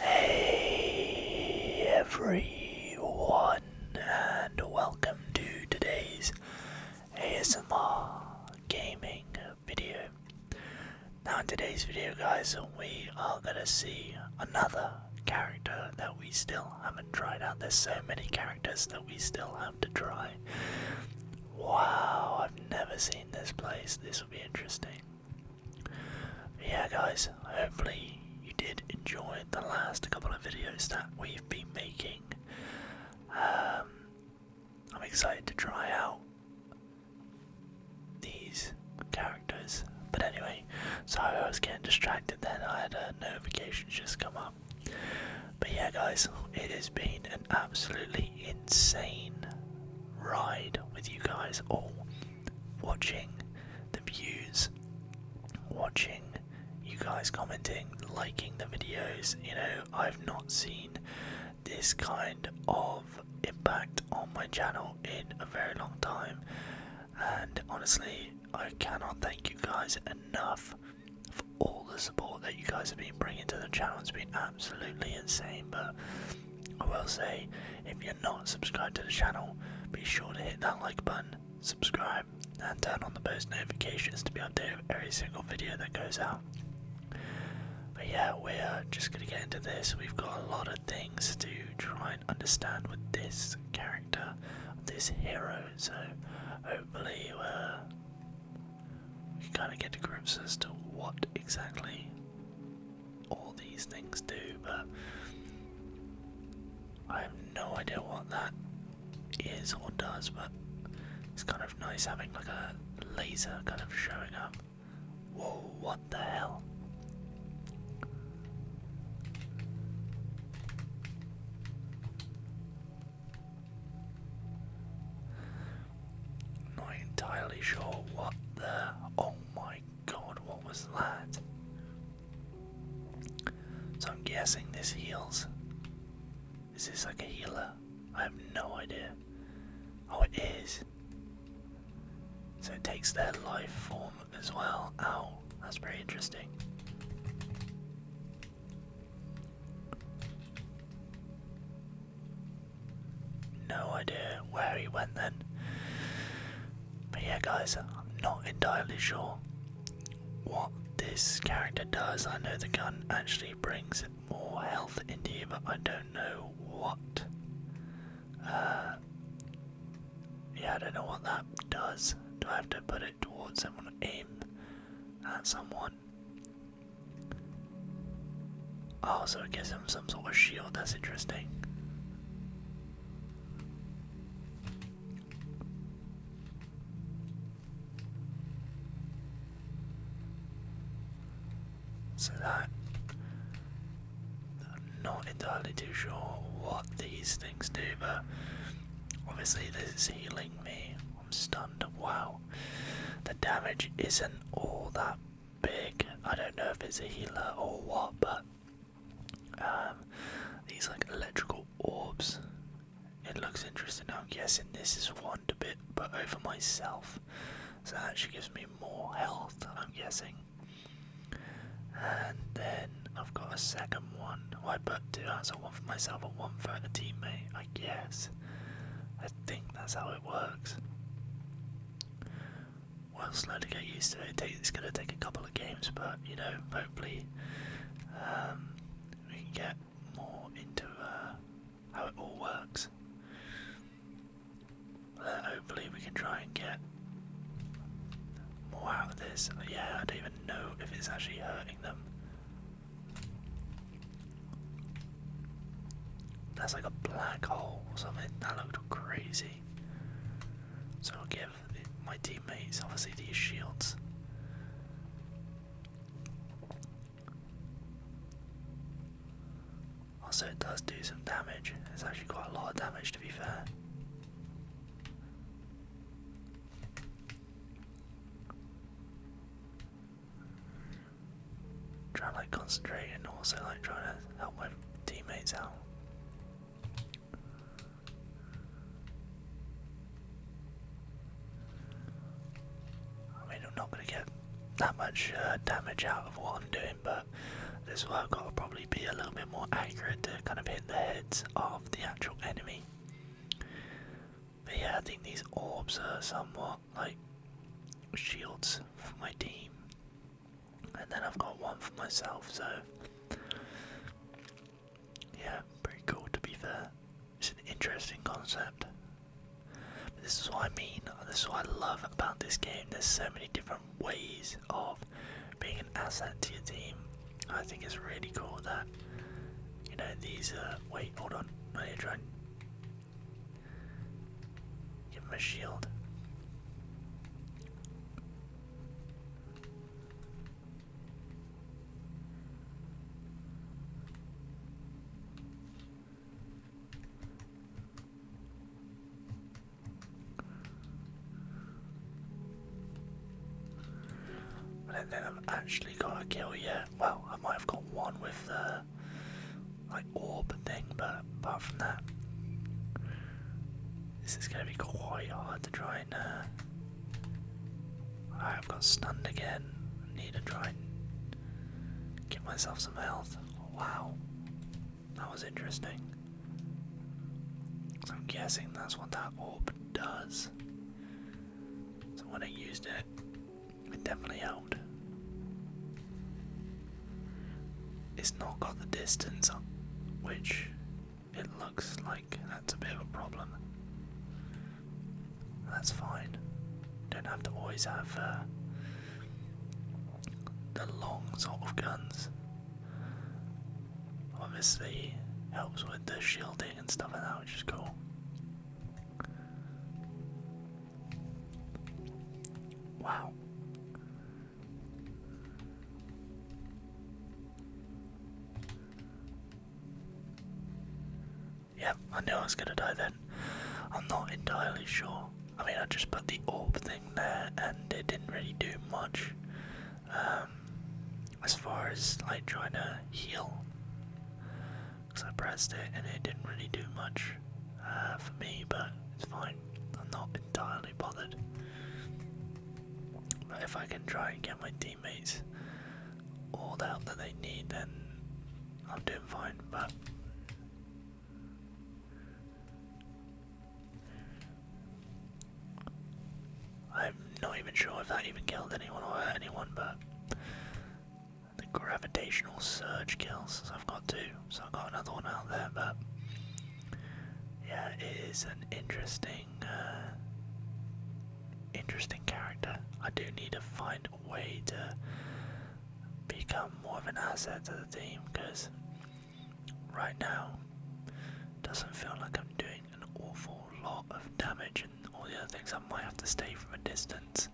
Hey everyone, and welcome to today's ASMR gaming video. Now in today's video guys we are gonna see another character that we still haven't tried out. There's so many characters that we still have to try. Wow, I've never seen this place. This will be interesting. yeah guys, hopefully you did enjoy the last couple of videos that we've been making. Um, I'm excited to try out these characters. But anyway, sorry I was getting distracted then, I had a notification just come up. But yeah, guys, it has been an absolutely insane ride with you guys all. Watching the views, watching you guys commenting, liking the videos. You know, I've not seen this kind of impact on my channel in a very long time. And honestly, I cannot thank you guys enough for all the support that you guys have been bringing to the channel. It's been absolutely insane. But I will say, if you're not subscribed to the channel, be sure to hit that like button, subscribe, and turn on the post notifications to be updated with every single video that goes out. But yeah, we're just gonna get into this. We've got a lot of things to try and understand with this character, this hero. So hopefully, uh, we we kind of get to grips as to what exactly all these things do. But I have no idea what that is or does. But it's kind of nice having like a laser kind of showing up Whoa, what the hell? Not entirely sure what the. Oh my god, what was that? So I'm guessing this heals. Is this like a healer? I have no idea. Oh, it is. So it takes their life form as well. Ow, that's pretty interesting. No idea where he went then. But yeah, guys, I'm not entirely sure what this character does. I know the gun actually brings more health in here, but I don't know what. Uh, yeah, I don't know what that does. Do I have to put it towards someone, aim at someone? Oh, so it gives him some sort of shield, that's interesting. So I'm not entirely too sure what these things do, but obviously this is healing me. I'm stunned. Wow. The damage isn't all that big. I don't know if it's a healer or what, but um these like electrical orbs. It looks interesting. I'm guessing this is one a bit, but over myself. So that actually gives me more health, I'm guessing. And then I've got a second one. Oh, I put two hands on one for myself and one for a teammate, I guess. I think that's how it works. Well, slowly get used to it. It's going to take a couple of games, but you know, hopefully um, we can get more into uh, how it all works. and uh, hopefully we can try and get more out of this. Uh, yeah, I don't even know if it's actually hurting them. That's like a black hole or something. That looked crazy. So I'll give my teammates obviously these shields. Also, it does do some damage. It's actually quite a lot of damage, to be fair. Trying to concentrate and also like trying to help my teammates out. I mean, I'm not gonna get that much uh, damage out of what I'm doing, but this is I've got to probably be a little bit more accurate to kind of hit the heads of the actual enemy. But yeah, I think these orbs are somewhat like shields for my team, and then I've got one for myself, so yeah, pretty cool to be fair. It's an interesting concept. this is what I mean, this is what I love about this game. There's so many different ways of being an asset to your team. I think it's really cool that, you know, these, are. Uh, wait, hold on, I need to try give him a shield. I do I've actually got a kill yet. Well, I might have got one with the uh, like orb thing, but apart from that, this is going to be quite hard to try and. Uh, I've got stunned again. need to try Get myself some health. Wow. That was interesting. I'm guessing that's what that orb does. So when I used it, it definitely helped. It's not got the distance, which it looks like that's a bit of a problem. That's fine. Don't have to always have uh, the long sort of guns. Obviously, helps with the shielding and stuff like that, which is cool. Wow. Yep, I knew I was gonna die then. I'm not entirely sure. I mean, I just put the orb thing there and it didn't really do much um, as far as like trying to heal. Because I pressed it and it didn't really do much uh, for me, but it's fine. I'm not entirely bothered. But if I can try and get my team teammates all the help that they need, then I'm doing fine. But I'm not even sure if that even killed anyone or hurt anyone, but the gravitational surge kills. So I've got two, so I've got another one out there. But yeah, it is an interesting uh, interesting character. I do need to find a way to become more of an asset to the team because right now doesn't feel like I'm doing an awful lot of damage and all the other things. I might have to stay from a distance.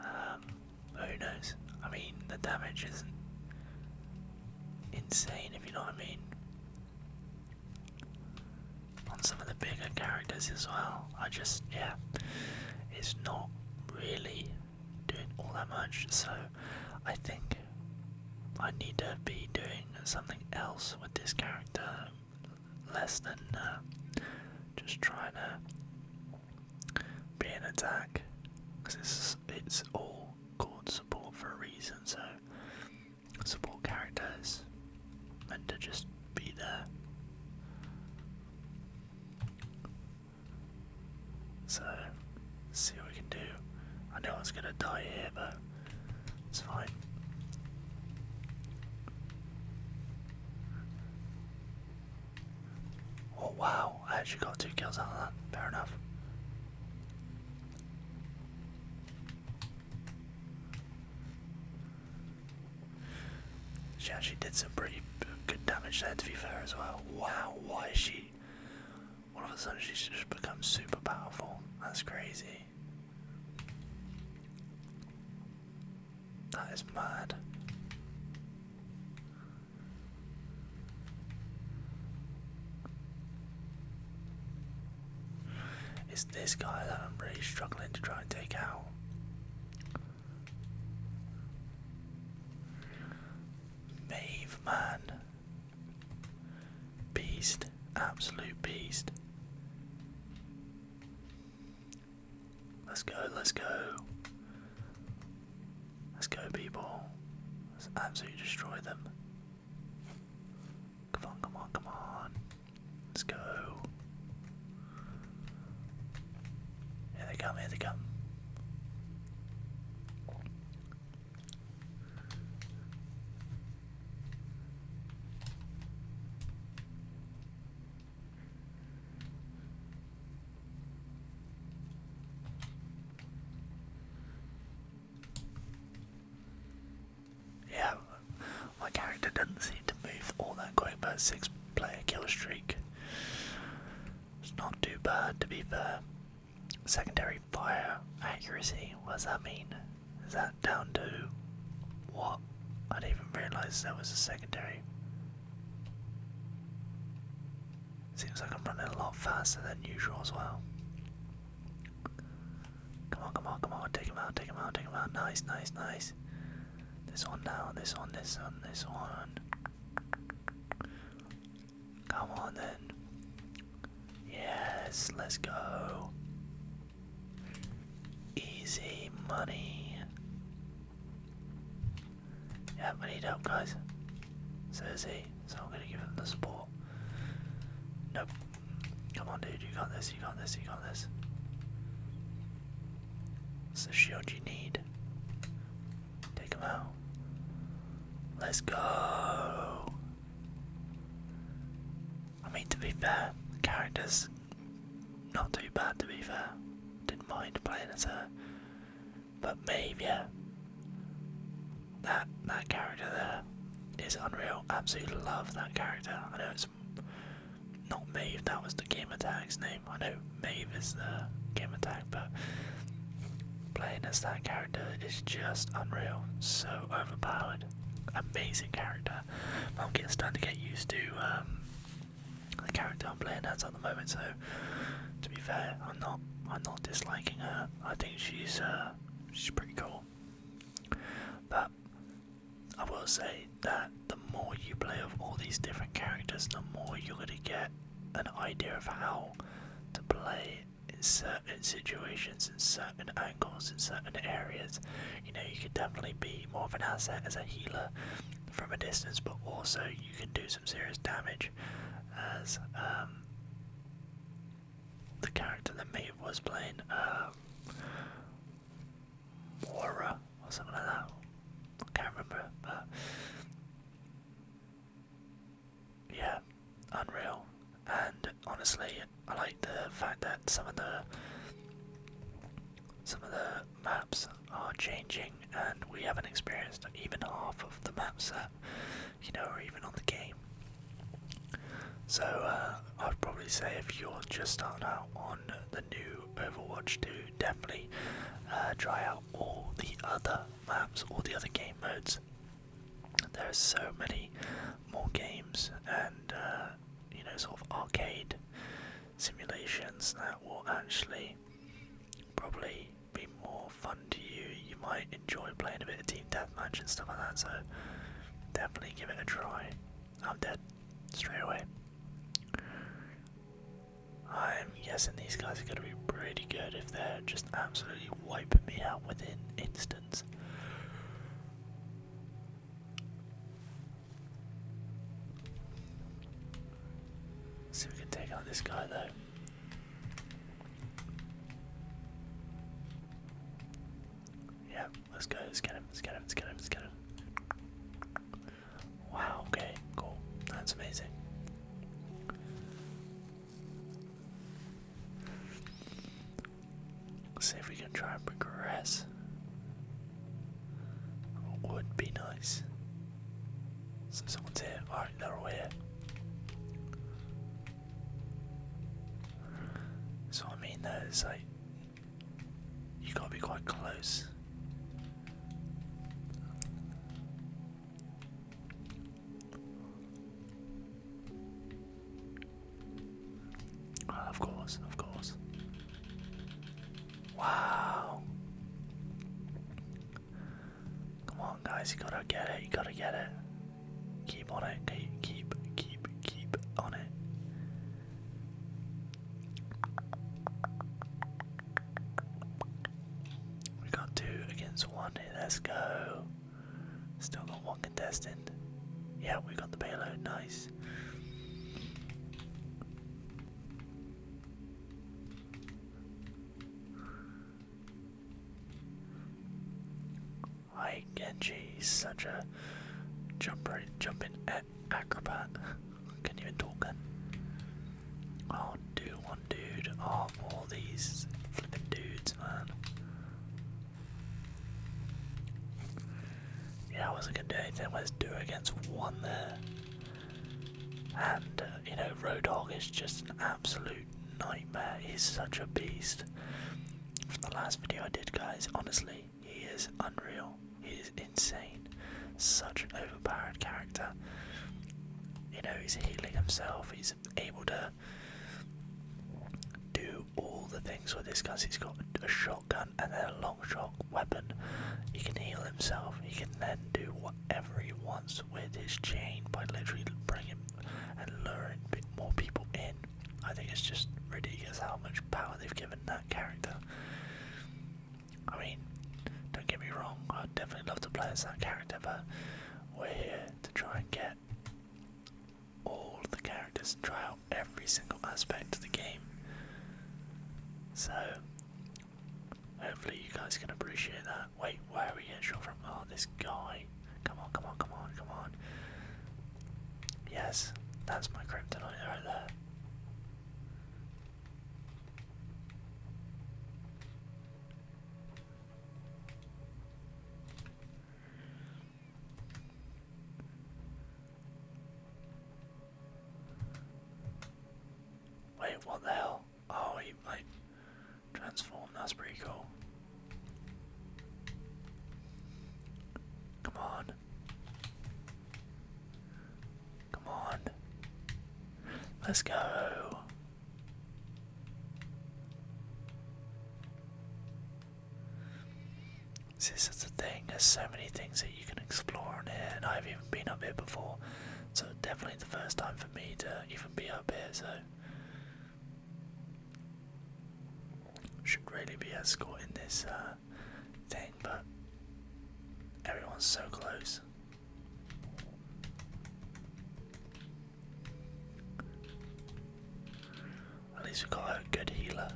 Um, who knows? I mean, the damage isn't insane, if you know what I mean on some of the bigger characters as well. I just, yeah, it's not really doing all that much, so I think I need to be doing something else with this character less than uh, just trying to be an attack because it's, it's all called support for a reason, so support characters meant to just be there. So, see what we can do. I know I was gonna die here, but it's fine. Oh wow, I actually got two kills out of that, fair enough. She actually did some pretty good damage there to be fair as well. Wow, why is she all of a sudden she just becomes super powerful? That's crazy. That is mad. It's this guy that I'm really struggling to try and take out. Mave man. Beast. Absolute beast. Let's go, let's go. Let's go people. Let's absolutely destroy them. Come on, come on, come on. Let's go. Here they come, here they come. Yeah, my character doesn't seem to move all that great but six player kill streak. It's not too bad to be fair. Secondary fire accuracy, what does that mean? Is that down to what? I didn't even realise there was a secondary. Seems like I'm running a lot faster than usual as well. Come on, come on, come on. Take him out, take him out, take him out. Nice, nice, nice. This one now, this one, this one, this one. Come on then. Yes, let's go. Easy money. Yeah, I need help, guys. So he, so I'm gonna give him the support. Nope. Come on, dude. You got this. You got this. You got this. It's the shield you need. Take him out. Let's go. I mean, to be fair, the character's not too bad, to be fair. Didn't mind playing as her. But maybe, yeah. That, that character there is unreal absolutely love that character. I know it's not Maeve, that was the Game Attack's name. I know Maeve is the Game Attack, but playing as that character is just unreal. So overpowered. Amazing character. I'm getting starting to get used to um, the character I'm playing as at the moment, so to be fair, I'm not I'm not disliking her. I think she's uh, she's pretty cool. But I will say that the more you play of all these different characters, the more you're going to get an idea of how to play in certain situations, in certain angles, in certain areas. You know, you could definitely be more of an asset as a healer from a distance, but also you can do some serious damage as um, the character that Maeve was playing, um, Moira or something like that. I can't remember, yeah, unreal. And honestly, I like the fact that some of the some of the maps are changing, and we haven't experienced even half of the map set you know, or even on the game. So uh, I'd probably say if you're just starting out on the new Overwatch 2, definitely uh, try out all the other maps, all the other game modes. There are so many more games and uh, you know, sort of arcade simulations that will actually probably be more fun to you. You might enjoy playing a bit of T eat that much and stuff like that, so definitely give it a try. I'm dead. Straight away. I'm guessing these guys are gonna be pretty good if they're just absolutely wiping me out within instants. See if we can take out this guy though. Yeah, let's go. Let's get him. Let's get him. Let's get him. Let's get him. Wow. Okay. Cool. That's amazing. Let's see if we can try and progress. Would be nice. So someone's here. Alright, they're all so I mean, there's like you gotta be quite close. of course, of course. Wow. Come on, guys, you gotta get it, you gotta get it. Keep on it. Keep, keep, keep, keep on it. We got two against one. let's go. Still got one contestant. Yeah, we got the payload. Nice. Hi Genji, such a jumper, jumping acrobat. Can't even talk it. Oh, dude, one dude. Oh, all these flipping dudes, man. Yeah, I wasn't gonna do anything. Where's two against one there? And uh, you know, Rodog is just an absolute nightmare. He's such a beast. From the last video I did, guys, honestly, he is unreal. He is insane. Such an overpowered character. You know, he's healing himself. He's able to do all the things with this because he's got a shotgun and then a long shot weapon. He can heal himself. He can then do whatever he wants with his chain by literally bringing and luring more people in. I think it's just ridiculous how much power they've given that character. I mean, don't get me wrong, I'd definitely love to play as that character, but we're here to try and get all the characters and try out every single aspect of the game. So, hopefully, you guys can appreciate that. Wait, where are we getting shot from? Oh, this guy. Come on, come on, come on, come on. Yes, that's my kryptonite over there. Wait, what the hell? Oh, he like Transform, that's pretty cool. Come on. Come on. Let's go. See, this is the thing, there's so many things that you can explore on here, and I've even been up here before, so definitely the first time for me to even be up here, so should really be escorting this uh, thing, but everyone's so close. At least we got a good healer.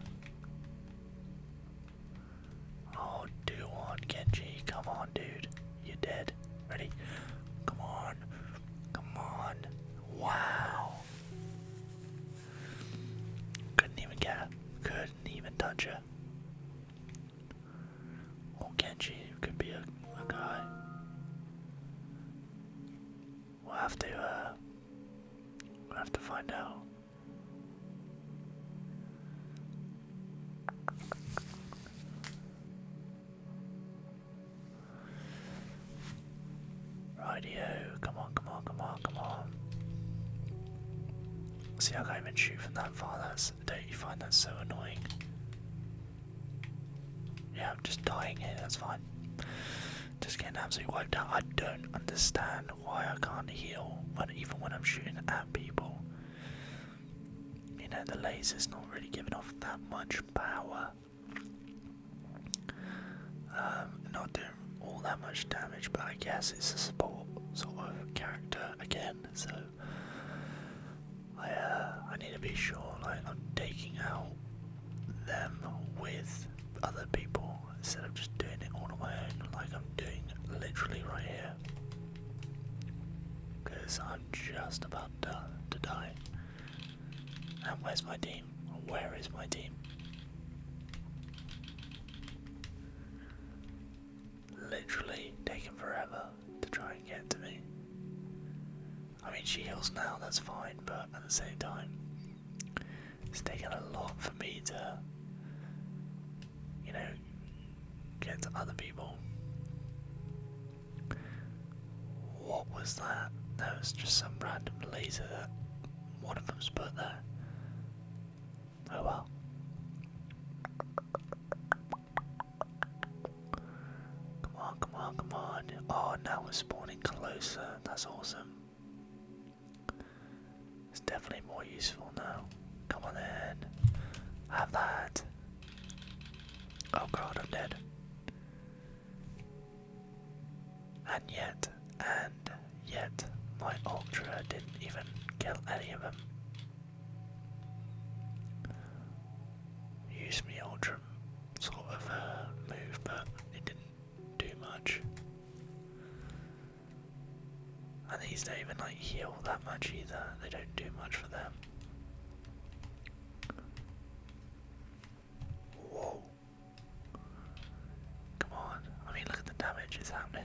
Oh, do on Genji, come on, dude. You're dead. Ready? Come on. Come on. Wow. Couldn't even get Couldn't even touch her. Or can Could be a, guy. We'll have to, uh, We'll have to find out. Rightio, come on, come on, come on, come on. See, how I can even shoot from that far. That's, don't you find that so annoying? Yeah, I'm just dying here, that's fine. Just getting absolutely wiped out. I don't understand why I can't heal when, even when I'm shooting at people. You know, the laser's not really giving off that much power. Um, not doing all that much damage, but I guess it's a support sort of character again, so I uh, I need to be sure like I'm taking out them with other people instead of just doing it all on my own like I'm doing literally right here. Because I'm just about to, die. And where's my team? Where is my team? Literally taking forever to try and get to me. I mean, she heals now, that's fine, but at the same time, it's taken a lot for me to, you know, get to other people. What was that? That was just some random laser that one of them's put there. Oh well. Come on, come on, come on. Oh, now we're spawning closer. That's awesome. It's definitely more useful now. Come on in. Have that. Oh god, I'm dead. And yet, and yet, my ultra didn't even kill any of them. Use me ultra sort of uh, move, but it didn't do much. And these don't even like heal that much either. They don't do much for them. Whoa. Come on. I mean, look at the damage. It's happening.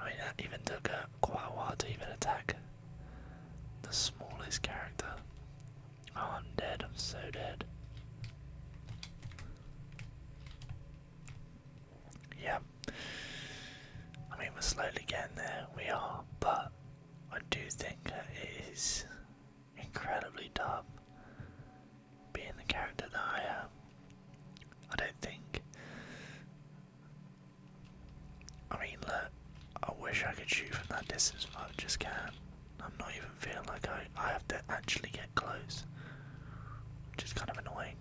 I mean, that even took uh, a while to even attack the smallest character. Oh, I'm dead. I'm so dead. Yeah. I mean, we're slowly getting there, we are, but I do think it is incredibly tough being the character that I am. I don't think. I mean, look, I wish I could shoot from that distance, but I just can't. I'm not even even feel like I, I have to actually get close, which is kind of annoying.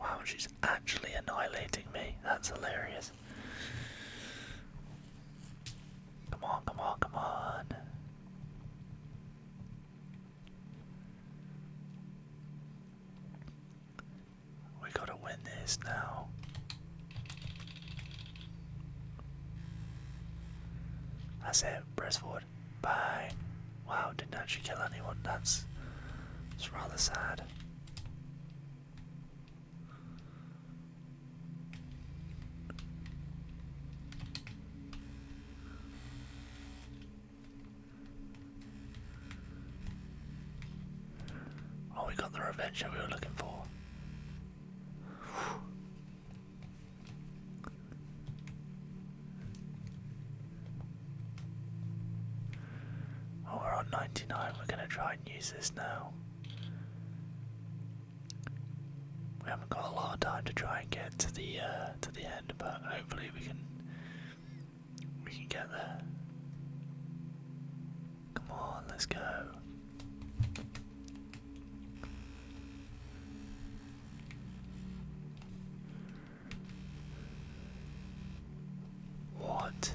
Wow, she's actually annihilating me. That's hilarious. Come on, come on, come on. We gotta win this now. That's it, press forward. Bye. Wow, didn't actually kill anyone. That's it's rather sad. Oh, we got the revenge we were looking for. Oh, we're on 99. We're going to try and use this now. We haven't got a lot of time to try and get to the uh, to the end, but hopefully we can we can get there. Come on, let's go. What?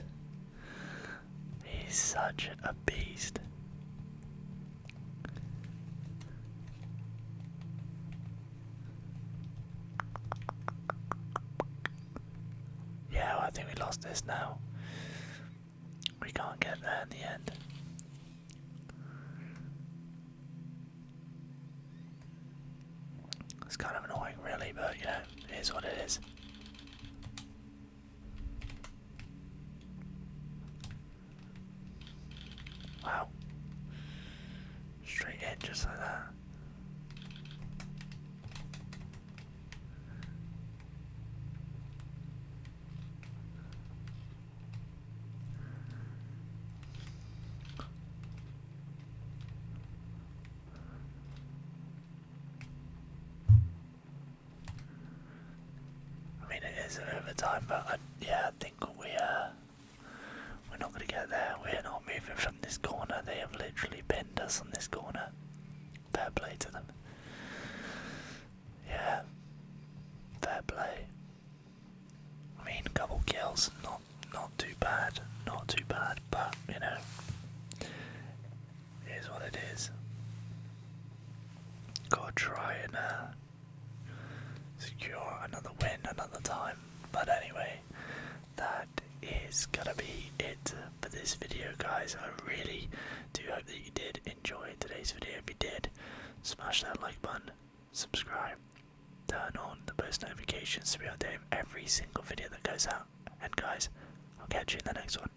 He's such a beast. Yeah, I think we lost this now. We can't get there in the end. It's kind of annoying, really, but you know, it is what it is. Wow. Straight edge just like that. I mean, it is an overtime, but yeah, I think we are uh, we're not going to get there. We're not moving from this corner. They have literally pinned us on this corner. Fair play to them. Yeah, fair play. I mean, couple kills, not not too bad, not too bad, but you know, Here's what it is. Gotta try and uh, secure another win another time. But anyway, that is gonna be it for this video, guys. I really do hope that you did enjoy today's video. If you did, smash that like button, subscribe, turn on the post notifications to be updated every single video that goes out. And guys, I'll catch you in the next one.